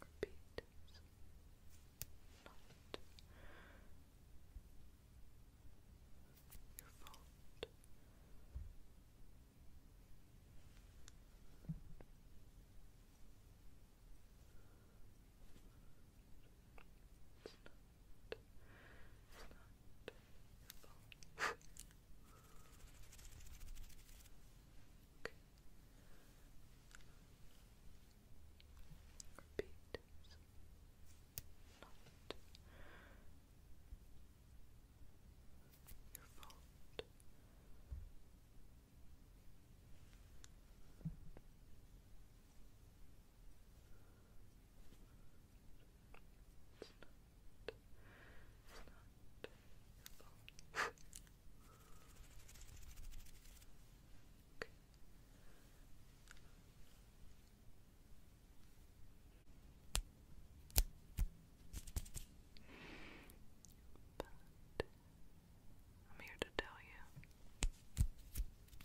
Repeat. Not your fault. It's not, it's not your fault. Repeat is not your fault. it's not phone. I'm here to tell you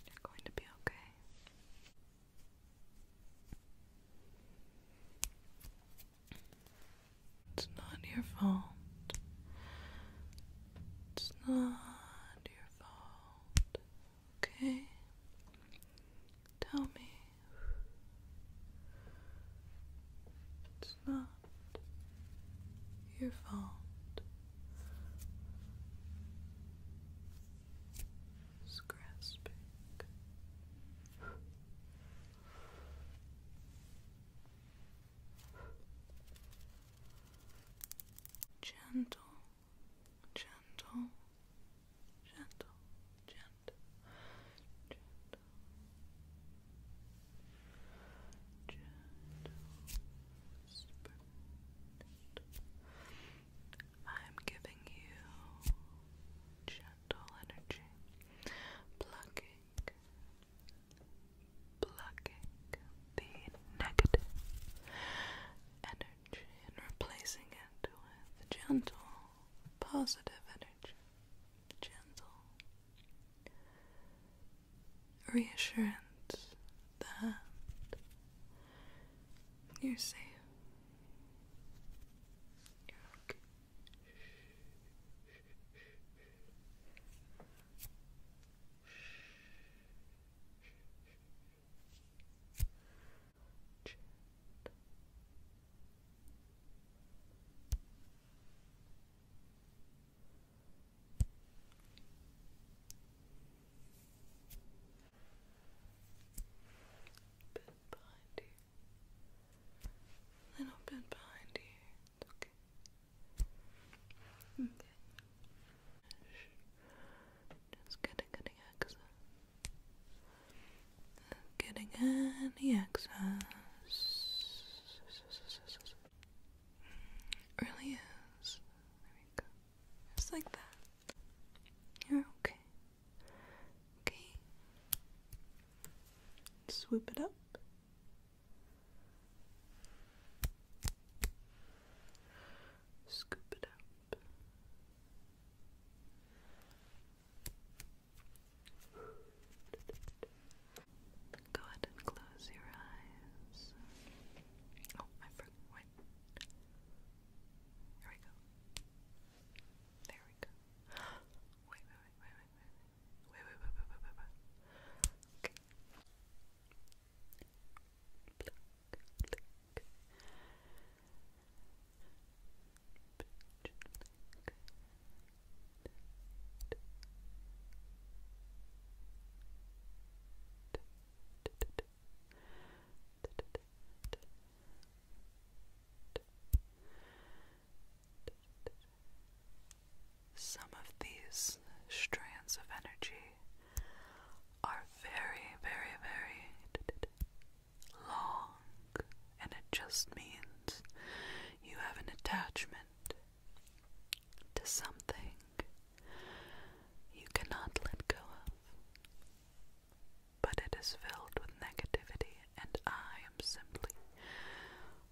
you're going to be okay. It's not your fault. It's not your fault. Okay? Tell me. It's not your fault. It's Gentle, gentle, gentle, gentle, gentle, gentle, I'm giving you gentle energy, plucking, Plucking the negative energy and replacing it with gentle, positive energy. Gentle reassurance that you're safe. You're okay. Bit you. A little bit behind you. It's okay. Okay. Just getting any excess. Getting any excess. really is. There we go. Just like that. you okay. Okay. Swoop it up. Scoop it up. Go ahead and close your eyes. Oh, I forgot. Wait. Here we go. There we go. wait, wait, wait, wait, wait. Wait, wait, wait, wait, wait, wait. Okay. Pluck, pluck. Pluck, some of these strands of energy are very, very, very long, and it just means you have an attachment to something you cannot let go of. But it is filled with negativity, and I am simply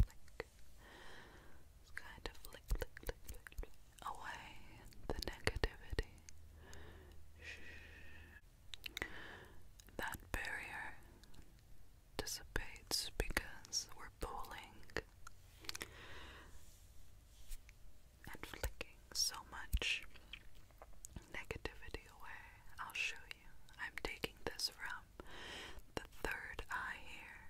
flick. kind of flick, flick, flick, flick away the negativity. That barrier dissipates because we're pulling and flicking so much negativity away. I'll show you. I'm taking this from the third eye here.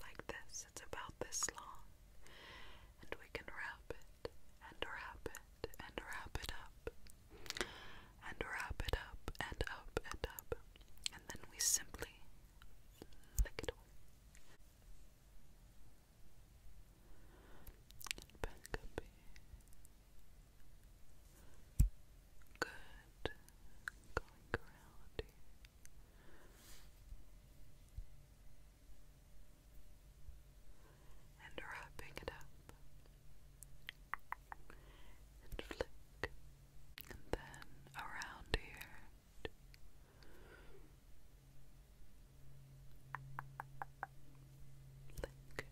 Like this, it's about this long, and we can wrap it and wrap it and wrap it up and wrap it up and up and up, and then we simply flick it away and back up Good. Going around here. And wrapping it up. And flick. And then around here. Lick.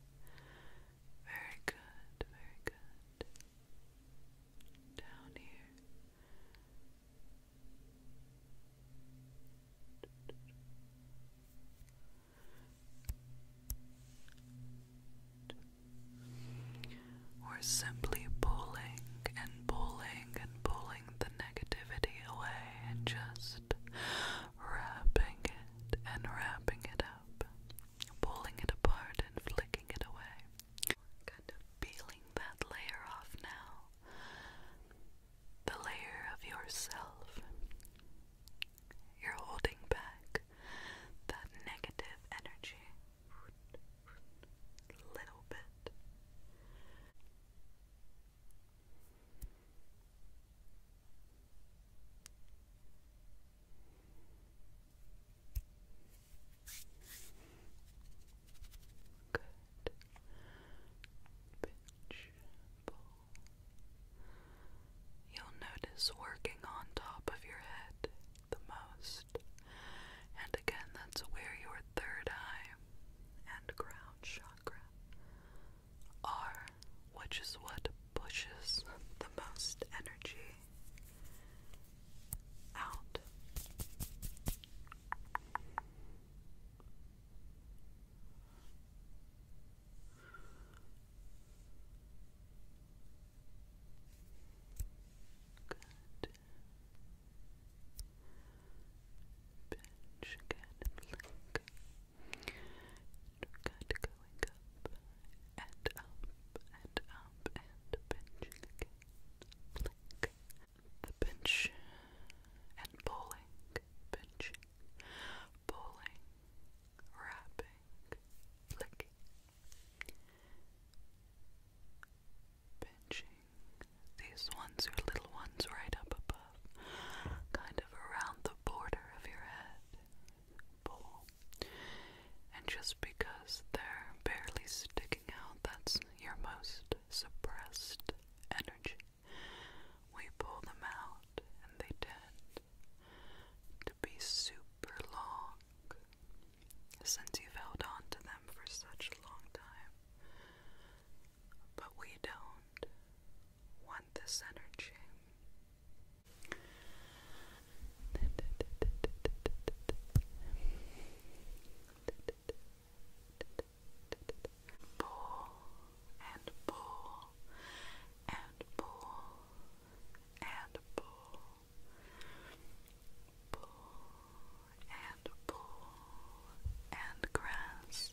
Very good, very good. Down here. Or simply pulling and pulling and pulling the negativity away and just wrapping it and wrapping it up, pulling it apart and flicking it away. Kind of peeling that layer off now. The layer of yourself. You're holding back that negative energy little bit. Good. You'll notice working on top of your head the most. And again, that's where your third eye and crown chakra are, which is what pushes the most energy out. Good. Pinch and blink. And going up and up and up and pinching again. The pinch and pulling, pinching, pulling, wrapping, flicking. Pinching. These ones are little ones right up above kind of around the border of your head. Bowl. And just because they're barely sticking out, that's your most suppressed energy. We pull them out, and they tend to be super long. Since you've held on to them for such a long time, but we don't want this energy. Pull and pull and pull and pull. Pull and pull and grasp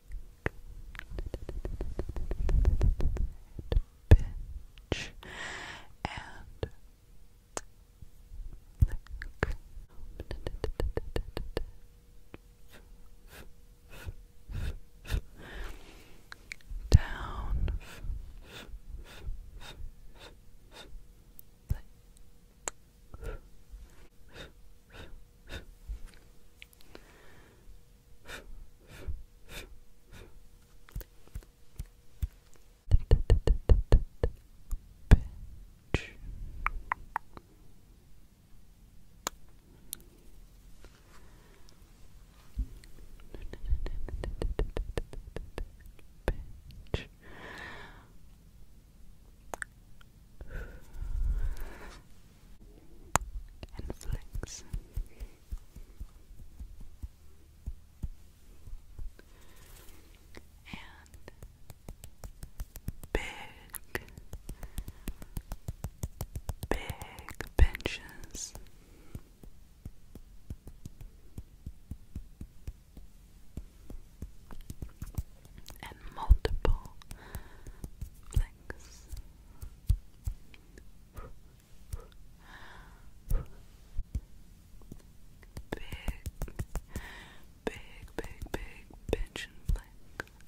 pinch and Down, Bench. Bench and big, big benches. And multiple flicks. Big, big, big, big pinch and flick.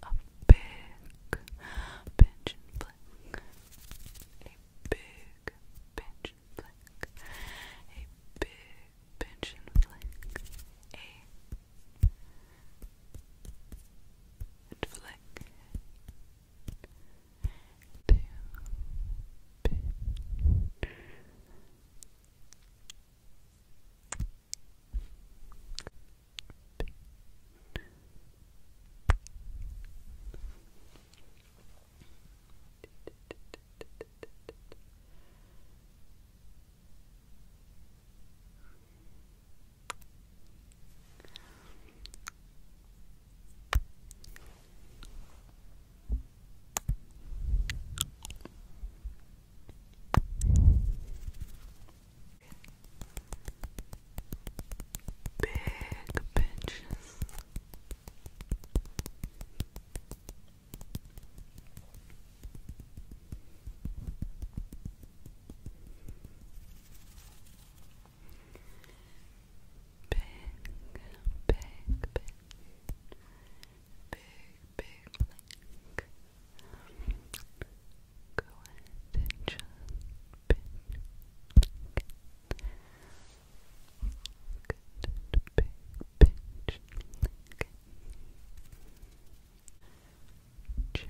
A big pinch and flick. A big pinch and flick. A big pinch and flick. A flick to pin Pin. Big pinches. Big, big, big, big, big blank. Go ahead and just big, big, big, big, big. Chin. Chin.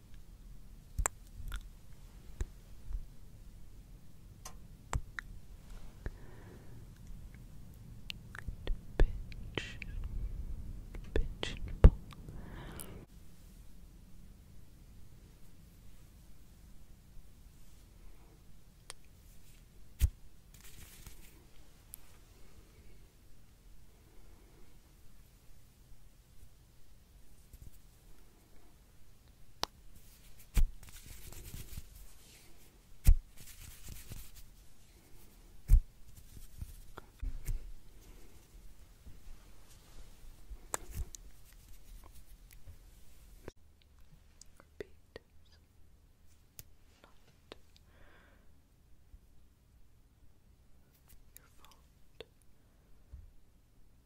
and pinch, pinch and pull. Good. Repeat. Not your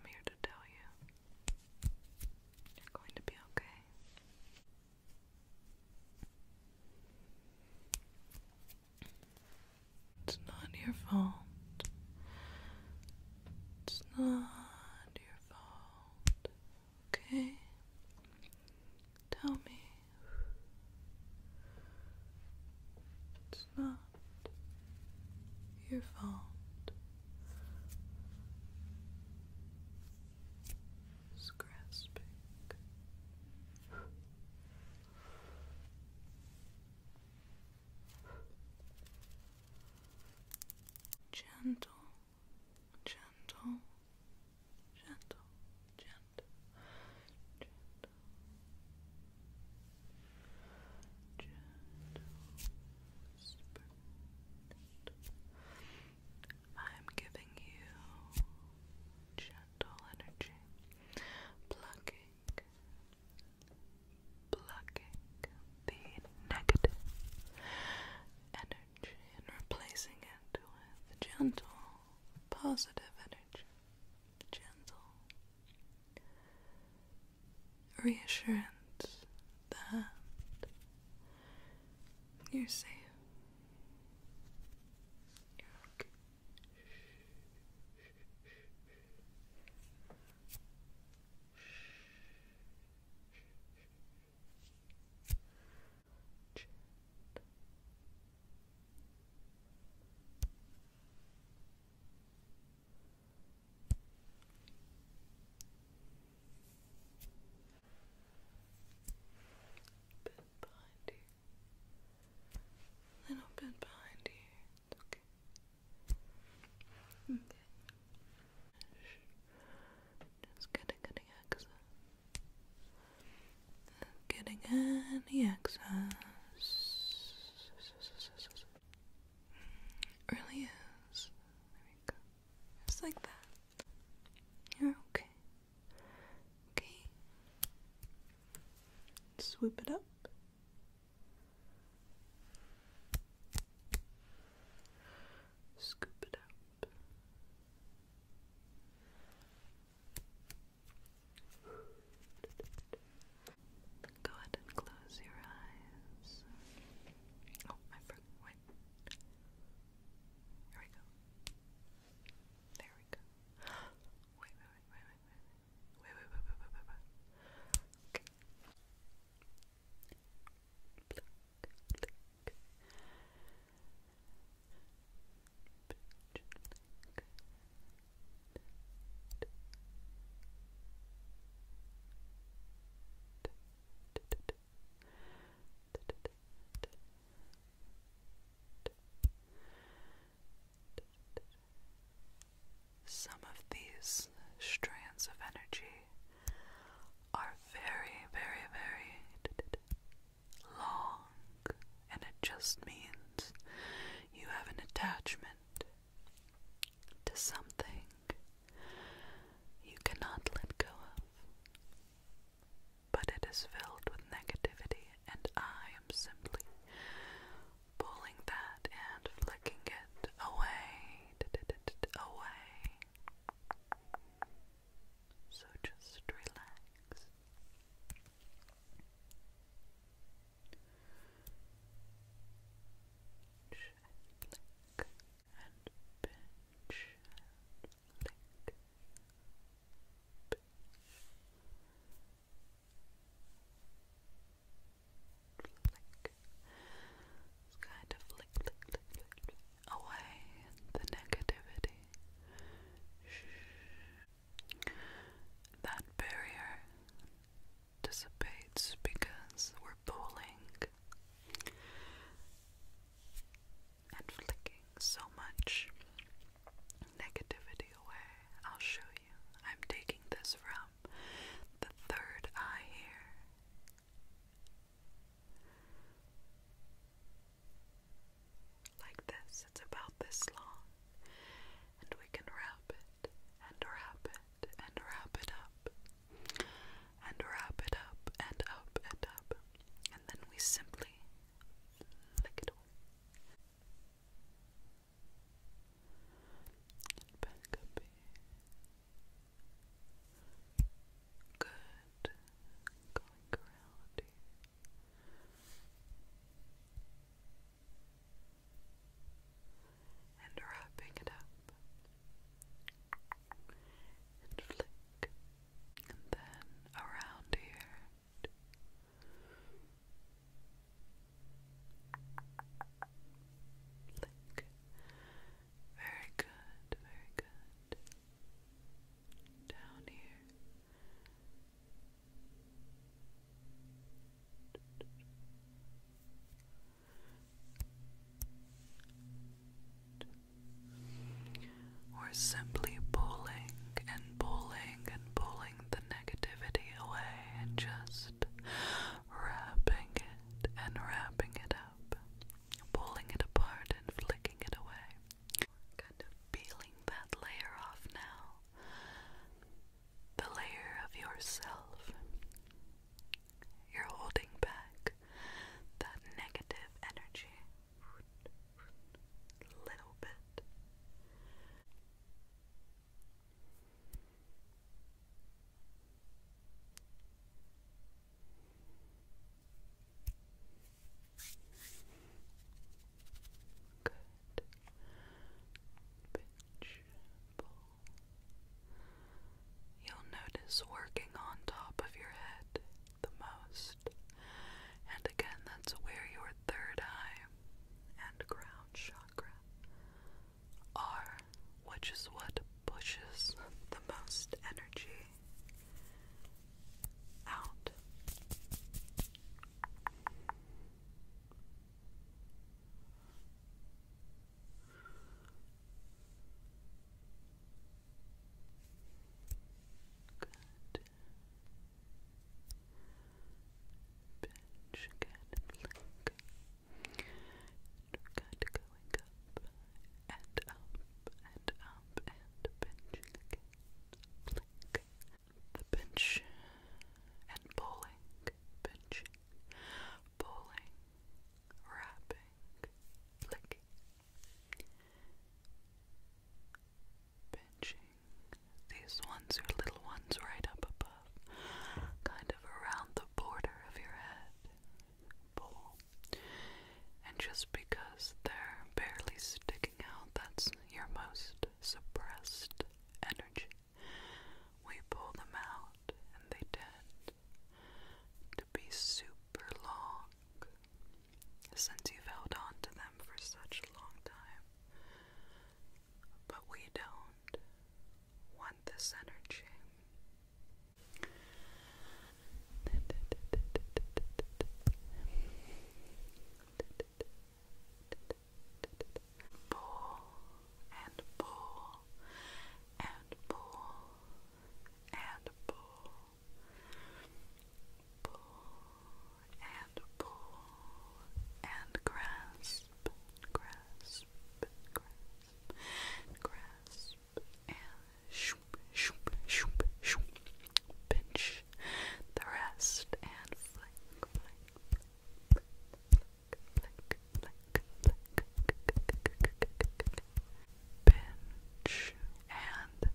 I'm here to tell you you're going to be okay. It's not your fault. It's not your fault. Okay? Tell me. It's not your fault. It's Gentle, gentle, gentle, gentle, gentle, I'm giving you gentle energy, plucking, plucking the negative energy and replacing it with gentle, positive energy. Gentle, reassurance that you're safe. Bit you. Little bit behind you. It's okay. Okay. Just getting any excess. Getting any excess. It really is. There we go. Just like that. You're okay. Okay. Swoop it up. Scoop it up. Go ahead and close your eyes. Oh, I forgot. Wait. Here we go. There we go. Wait, wait, wait, wait, wait, wait, wait, wait, wait, wait, wait, wait, wait. Okay. Blink, blink. Blink, blink. Some of these strands of energy are very, very, very long, and it just means you have an attachment to something you cannot let go of. But it is filled with negativity, and I am simply pulling that and flicking it away. away. So just relax and lick kind of flick, flick, flick, away the negativity. That barrier dissipates because we're pulling and flicking so much negativity away. I'll show you. I'm taking this from the third eye here. Like this, it's about this long and we can wrap it and wrap it and wrap it up and wrap it up and up and up and then we simply lick it all back up good going around here and wrapping it up and flick and then around here flick very good, very good down here we're simply pulling and pulling and pulling the negativity away and just wrapping it and wrapping it up, pulling it apart and flicking it away. Kind of peeling that layer off now the layer of yourself. You're holding back that negative energy a little bit. Good. You'll notice working on top of your head the most. And again, that's where your third eye and crown chakra are, which is what pushes the most energy out. Good. Pinch and blink. Good, going up and up and up and pinching again. Blink. The pinch and pulling pinching, pulling, wrapping, flicking, pinching. These ones are little ones right up above, kind of around the border of your head. Pull. And just because they're barely sticking out, that's your most suppressed energy. We pull them out and they tend to be super long since you've held on to them for such a long time. But we don't want this energy pull and pull and pull and pull pull and pull and grasp grasp grasp grasp pinch the rest and flick flick black, black, and black, and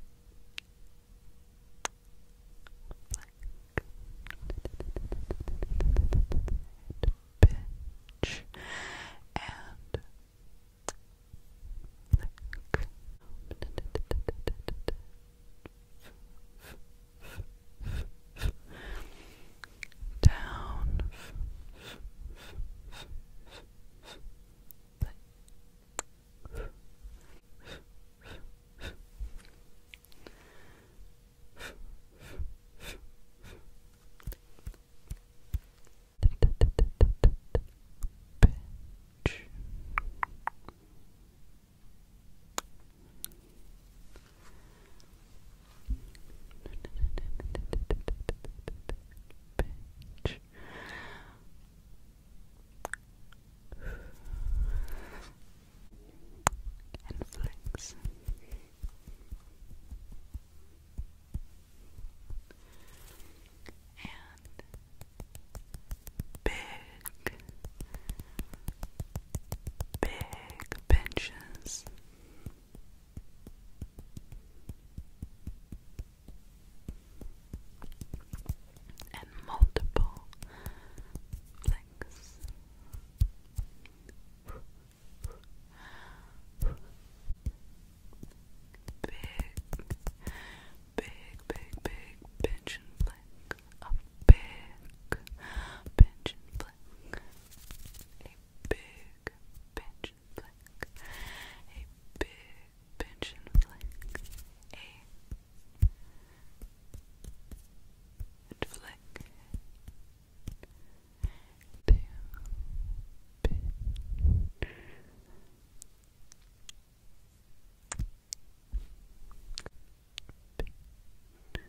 down Pinch. Bitch. And flex. And big, big benches and multiple flicks. Big, big, big, big pinch and flick. A big pinch and flick a big pinch flick, a big pinch and flick, a flick, two pinch.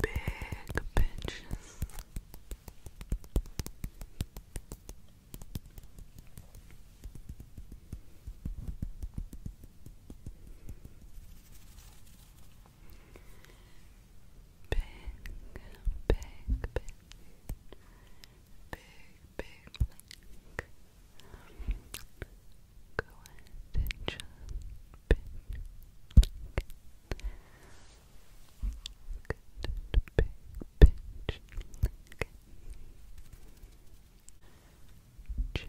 Big pinches. Big, big, big, big, big, attention pinch. Good big pinch. Okay. Chin. Chin.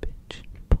Pinch, pinch and pull.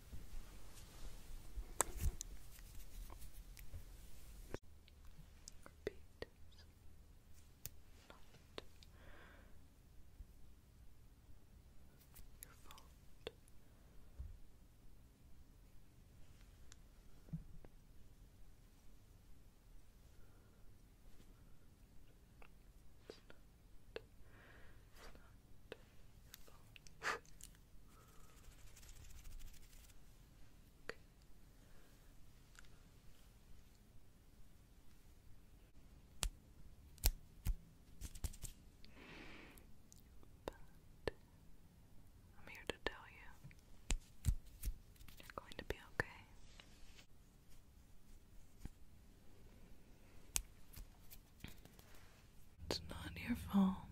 Repeat. Not your fault. It's not, it's not your fault. Okay. I'm here to tell you, you're going to be okay. It's not your fault.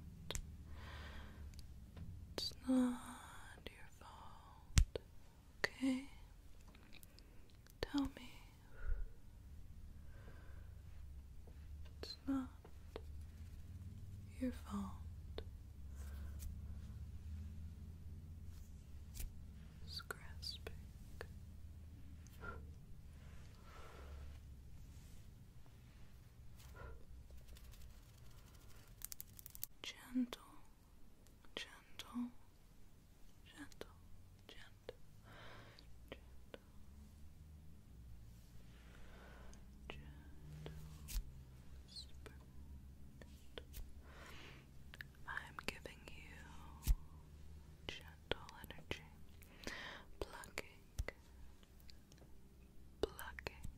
It's not your fault. Okay? Tell me. It's not your fault. It's grasping. Gentle, gentle, gentle, gentle, gentle, gentle I'm giving you gentle energy, plucking, Blocking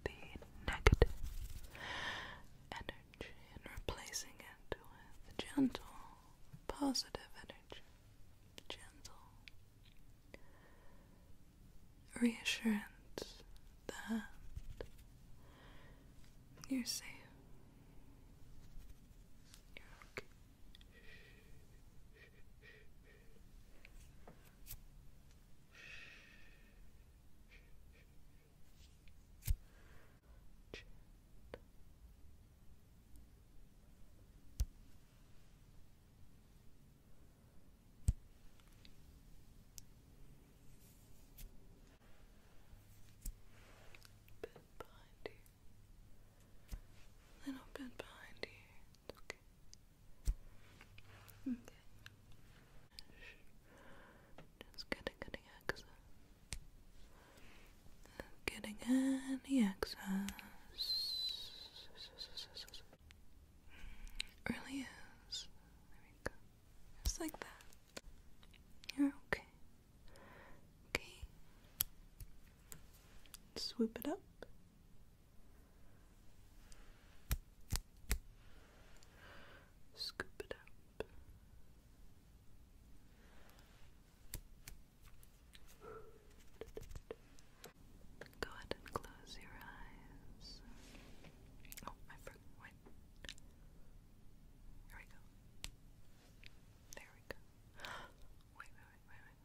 the negative energy and replacing it with gentle, positive energy. Gentle reassurance that you're safe. You're okay. Bit you. Little bit behind you. Okay. Just getting any excess. Getting any excess. Really is. There we go. Just like that. you okay. Okay. Swoop it up. Scoop it up. Go ahead and close your eyes. Oh, I forgot. Wait. Here we go. There we go. wait, wait, wait, wait, wait.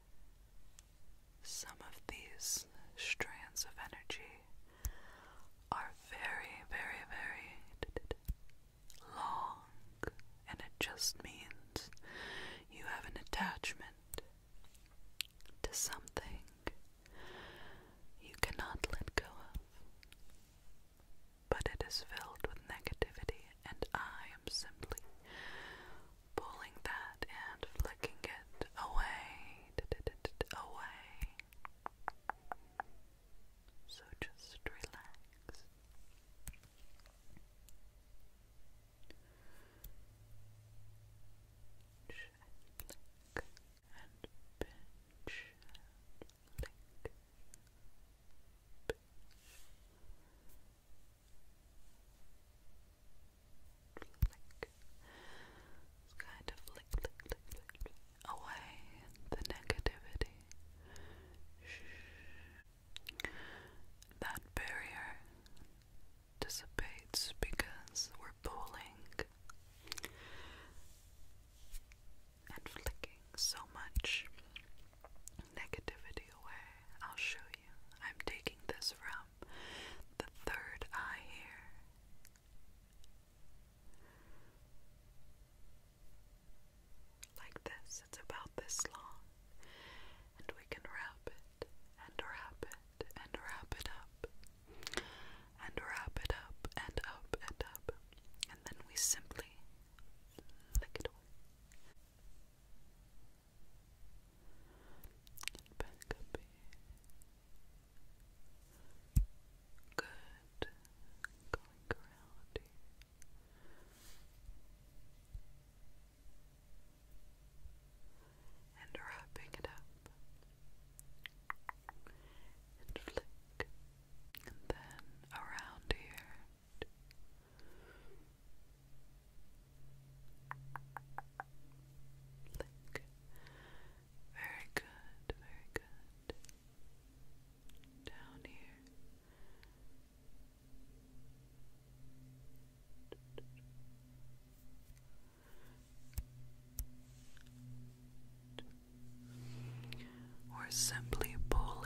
Some of these strands of energy are very, very, very long, and it just means you have an attachment to something you cannot let go of. But it is filled with negativity, and I am simply pulling that and flicking it away, away. So just relax. flick and pinch flick. It's kind of flick, flick, flick, flick, away the negativity. That barrier dissipates because we're pulling and flicking so much negativity away. I'll show you. I'm taking this route the third eye here. Like this, it's about this long, and we can wrap it and wrap it and wrap it up and wrap it up and up and up, and then we simply lick it away. And back up here. Good. Going around here. And wrapping it up. And flick. And then around here. Very good, very good. Down here. We're simply pulling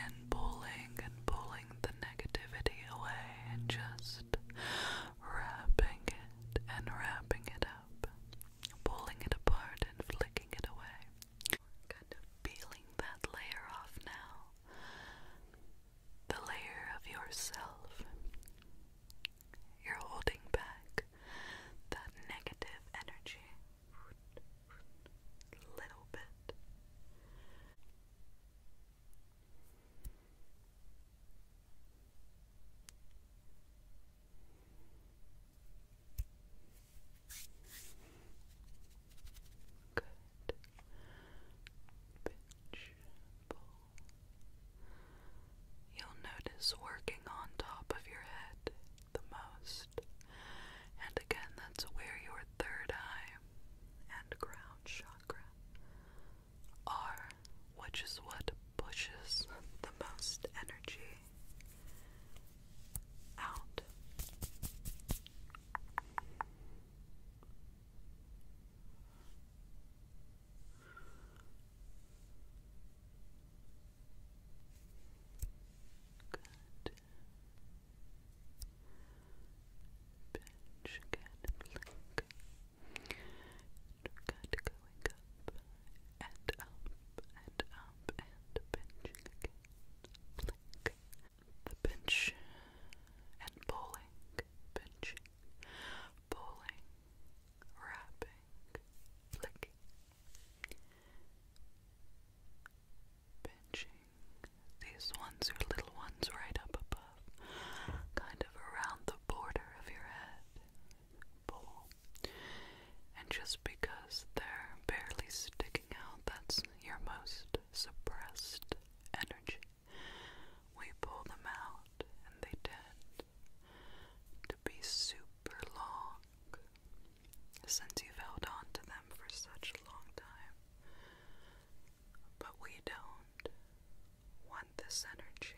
and pulling and pulling the negativity away and just wrapping it and wrapping it up, pulling it apart and flicking it away. Kind of peeling that layer off now. The layer of yourself. You're holding back that negative energy. Little bit. Good. You'll notice working on top of your head the most. And again, that's where your third eye and crown chakra R, which is what pushes the most energy out. Good. Pinch again blink good going up and up and up and pinching again. The pinch and pulling, pinching, pulling, wrapping, flicking. Pinching. These ones are little ones right up above kind of around the border of your head bowl. And just because they're barely sticking out, that's your most suppressed energy. We pull them out, and they tend to be super long. Since you've held on to them for such a long time. But we don't want this energy.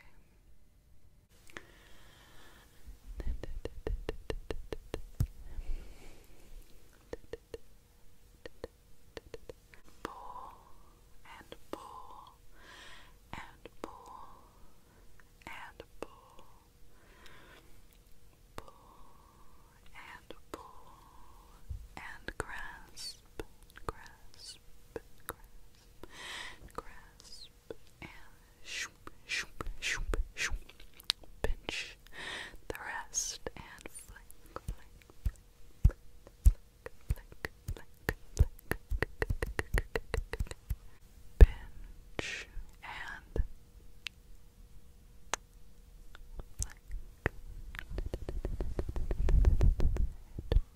Pull and pull and pull and pull. Pull and pull and grasp, grasp, grasp, grasp, and shoop, shoop, shoop, shoop, pinch the rest and flick, flick, flick, flick, flick, flick, flick, pinch and Flick.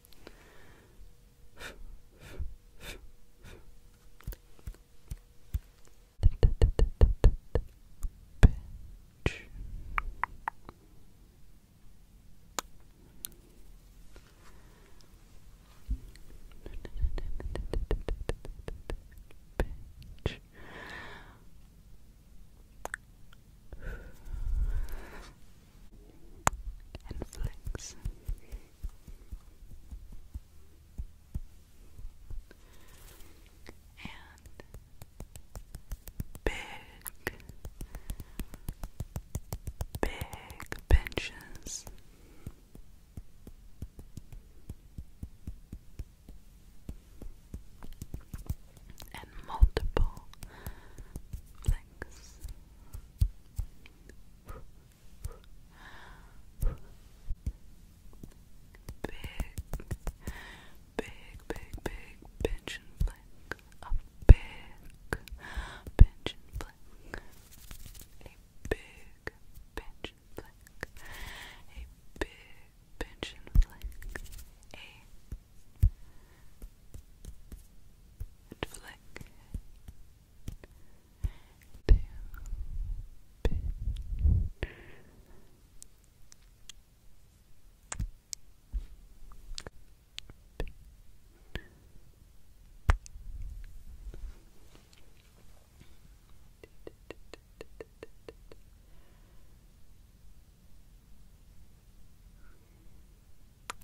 Bench. Bench and big, big benches. And multiple links big, big, big, big pinch and flick, a big pinch and flick, a big pinch and flick, a big pinch and flick, a to pin Pin. Big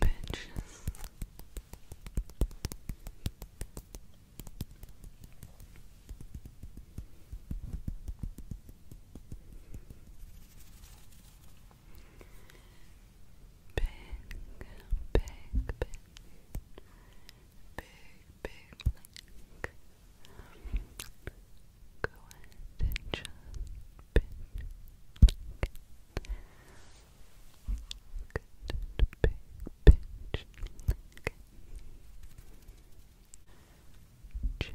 pinches. Big, big, big, big, big link. Go ahead and just pin. Good, big, pinch link. Chin. Chin.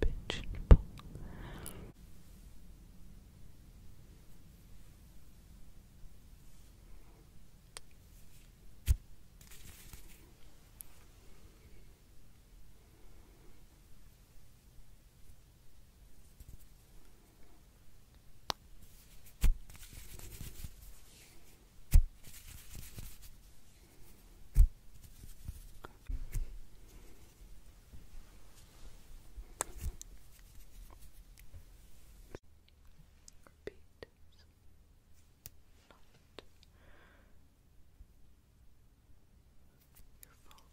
pinch, pinch and pull. Good. Repeat. Not your fault.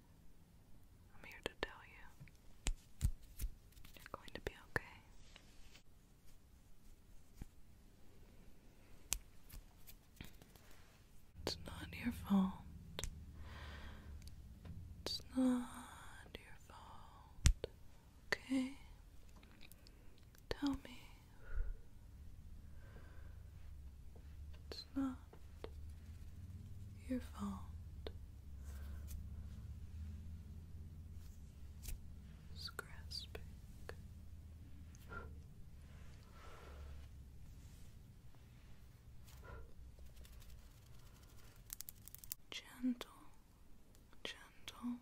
I'm here to tell you you're going to be okay. It's not your fault. It's not your fault. Okay? Tell me. It's not your fault. It's Gentle, gentle, gentle,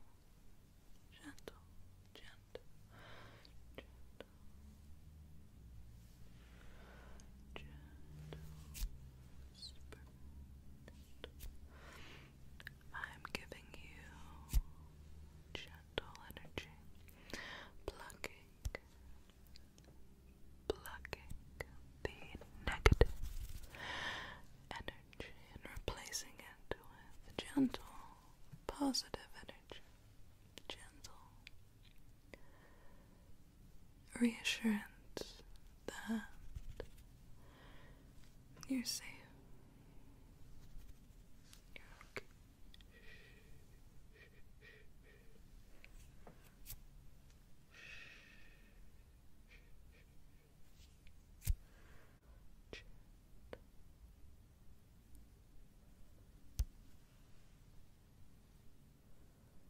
gentle, gentle, I'm giving you gentle energy, plucking, plucking the negative energy and replacing it with gentle, positive energy, gentle, reassurance that you're safe.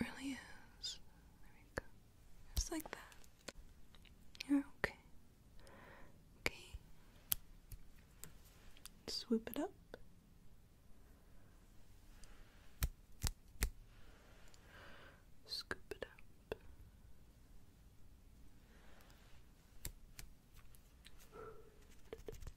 really is. There we go. Just like that. you okay. Okay. Swoop it up. Scoop it up.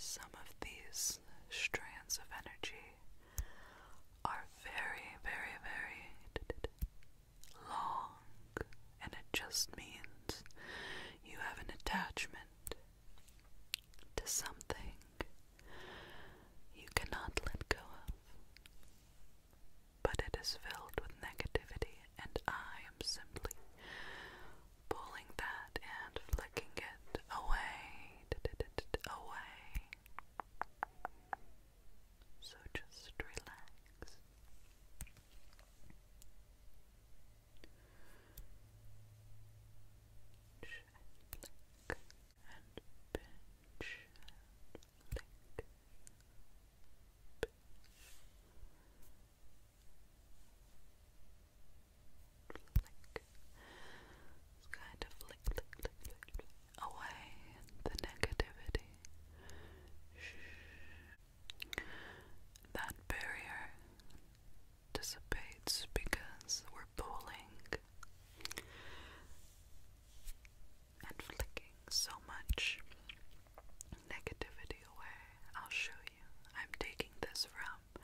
some of these strands of energy are very, very, very long, and it just means you have an attachment to something you cannot let go of. But it is filled with negativity, and I am simply pulling that and flicking it away. away. So just relax lick and kind of flick, flick, flick, away the negativity. That barrier dissipates because we're pulling and flicking so much negativity away. I'll show you. I'm taking this from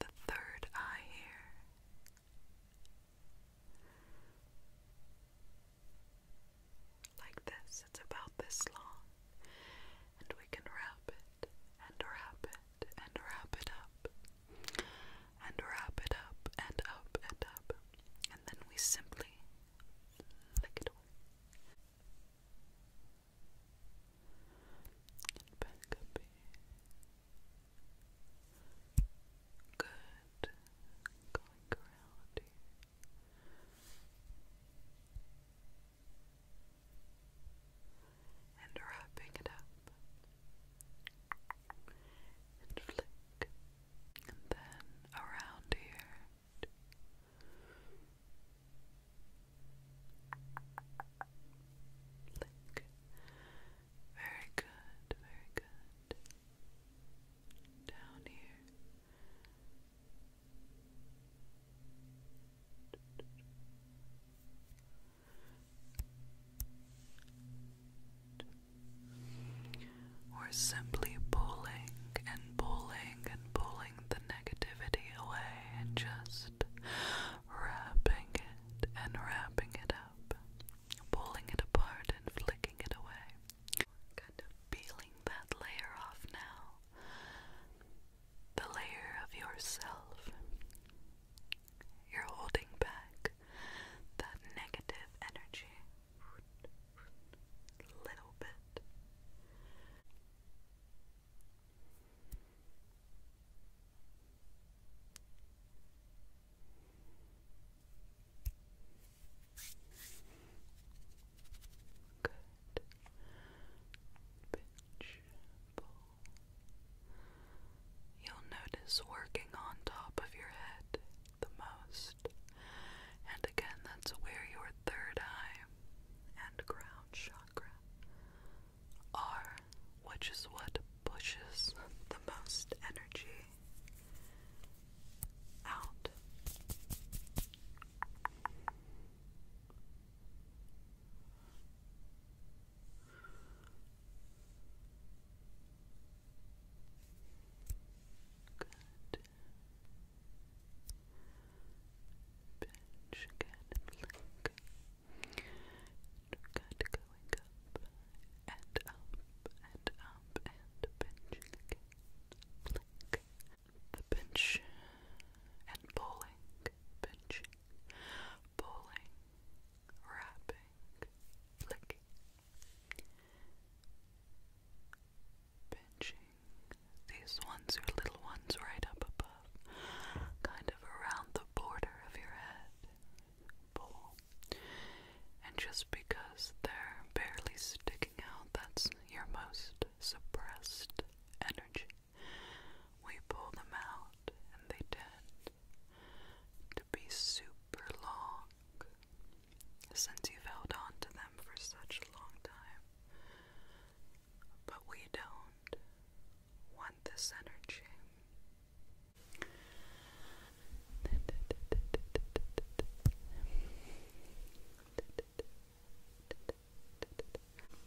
the third eye here. Like this, it's about this long, and we can wrap it and wrap it and wrap it up and wrap it up and up and up. And then we simply flick it away. And back up Good. Going around here and wrapping it up and flick and then around here flick very good, very good down here we're simply pulling and pulling and pulling the negativity away and just wrapping it and wrapping it up, pulling it apart and flicking it away. Kind of peeling that layer off now. The layer of yourself you're holding back that negative energy a little bit. Good. Pitch, You'll notice working on top of your head the most. And again, that's where your third eye and crown chakra are, which is what pushes the most energy out. Good. Pinch again and Good, going up and up and up and pinching again. The pinch and pulling, pinching pulling, wrapping, flicking, pinching. These ones are little ones right up above, kind of around the border of your head. Pull. And just because they're barely sticking out, that's your most suppressed energy. We pull them out and they tend to be super long. Since you've held on to them for such a long time. But we don't want this energy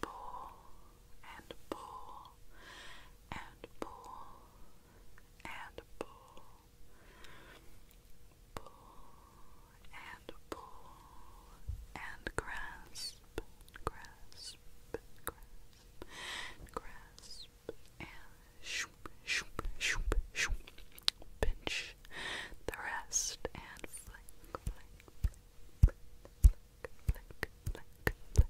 pull and pull and pull and pull, pull and pull and grasp, grasp, grasp, and shoop, shoop, shoop, shoop, pinch the rest and flick, flick, flick, flick. and flick.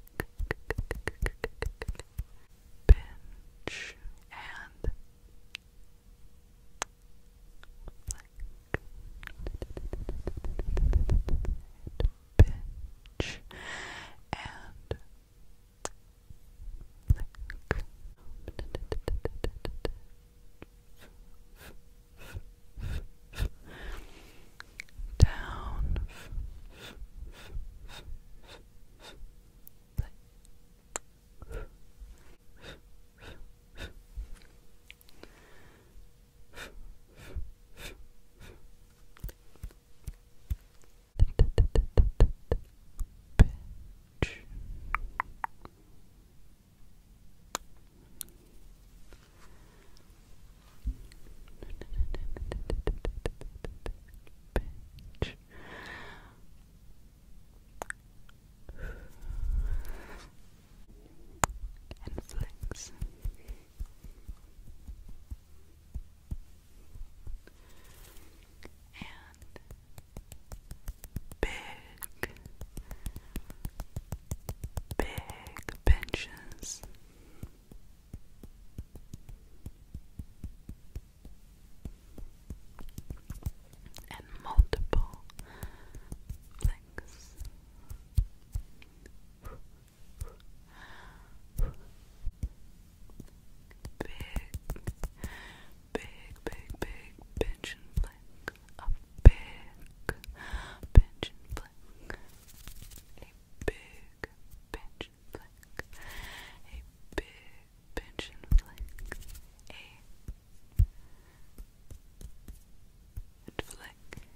and down Pitch. Bitch. And big, big benches and multiple flicks. Big, big, big, big pinch and flick. A big pinch and flick big pinch flick, a big pinch and flick, a and flick, two pinch.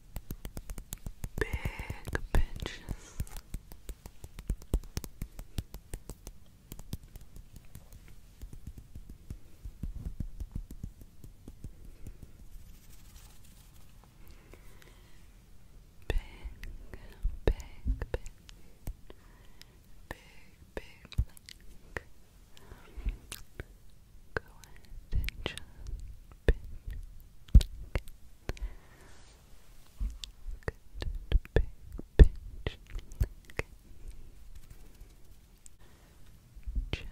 big pinches. Big, big, big, big, big link. Go and just big, Good. Big pinch. Okay. Chin. Chin.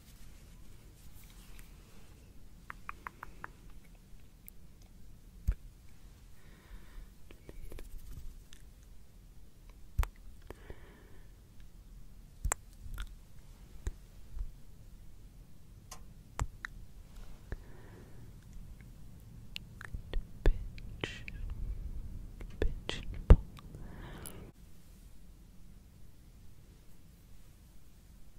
Pinch, pinch and pull.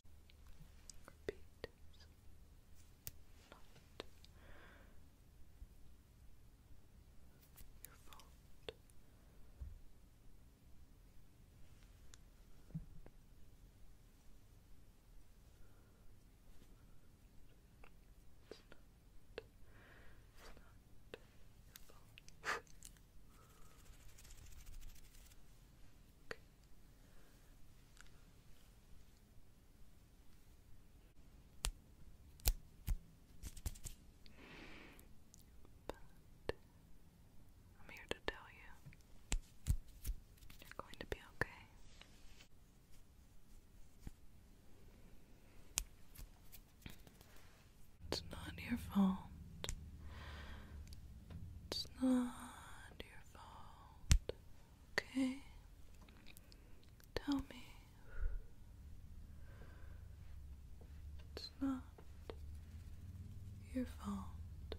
Repeat. Not your fault. It's not, it's not your fault. Okay. I'm here to tell you you're going to be okay. It's not your fault. It's not your fault. Okay? Tell me. It's not your fault.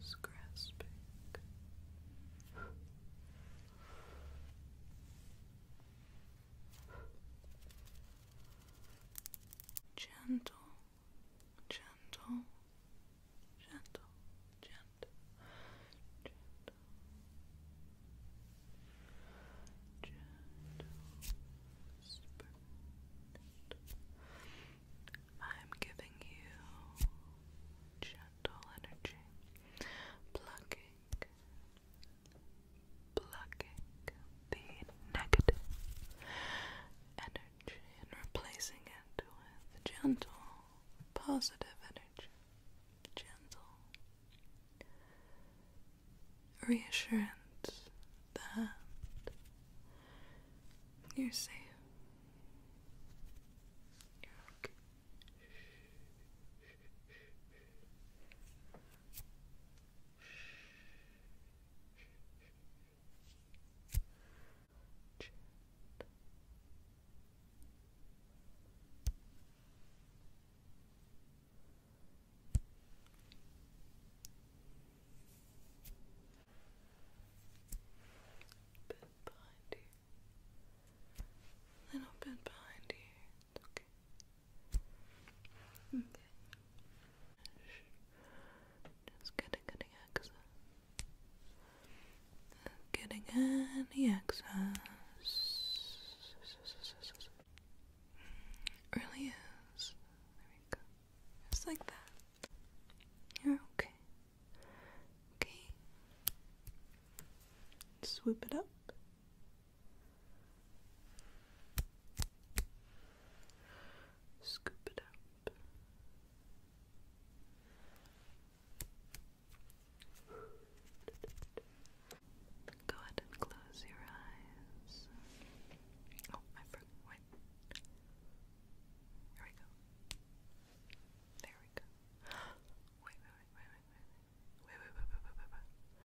It's grasping gentle, gentle, gentle, gentle, gentle, gentle whisper. I'm giving you gentle energy, plucking, Plucking the negative energy and replacing it with gentle, positive energy. Gentle reassurance that you're safe. You're okay. Chin. you. Little bit behind you. It's okay. Okay. Just getting any excess. Getting any excess. really is. There we go. Just like that. you okay. Okay. Swoop it up. Scoop it up. Go ahead and close your eyes. Oh, I forgot. Wait. Here we go. There we go. Wait, wait, wait, wait, wait, wait, wait, wait, wait, wait, wait, wait. wait, wait.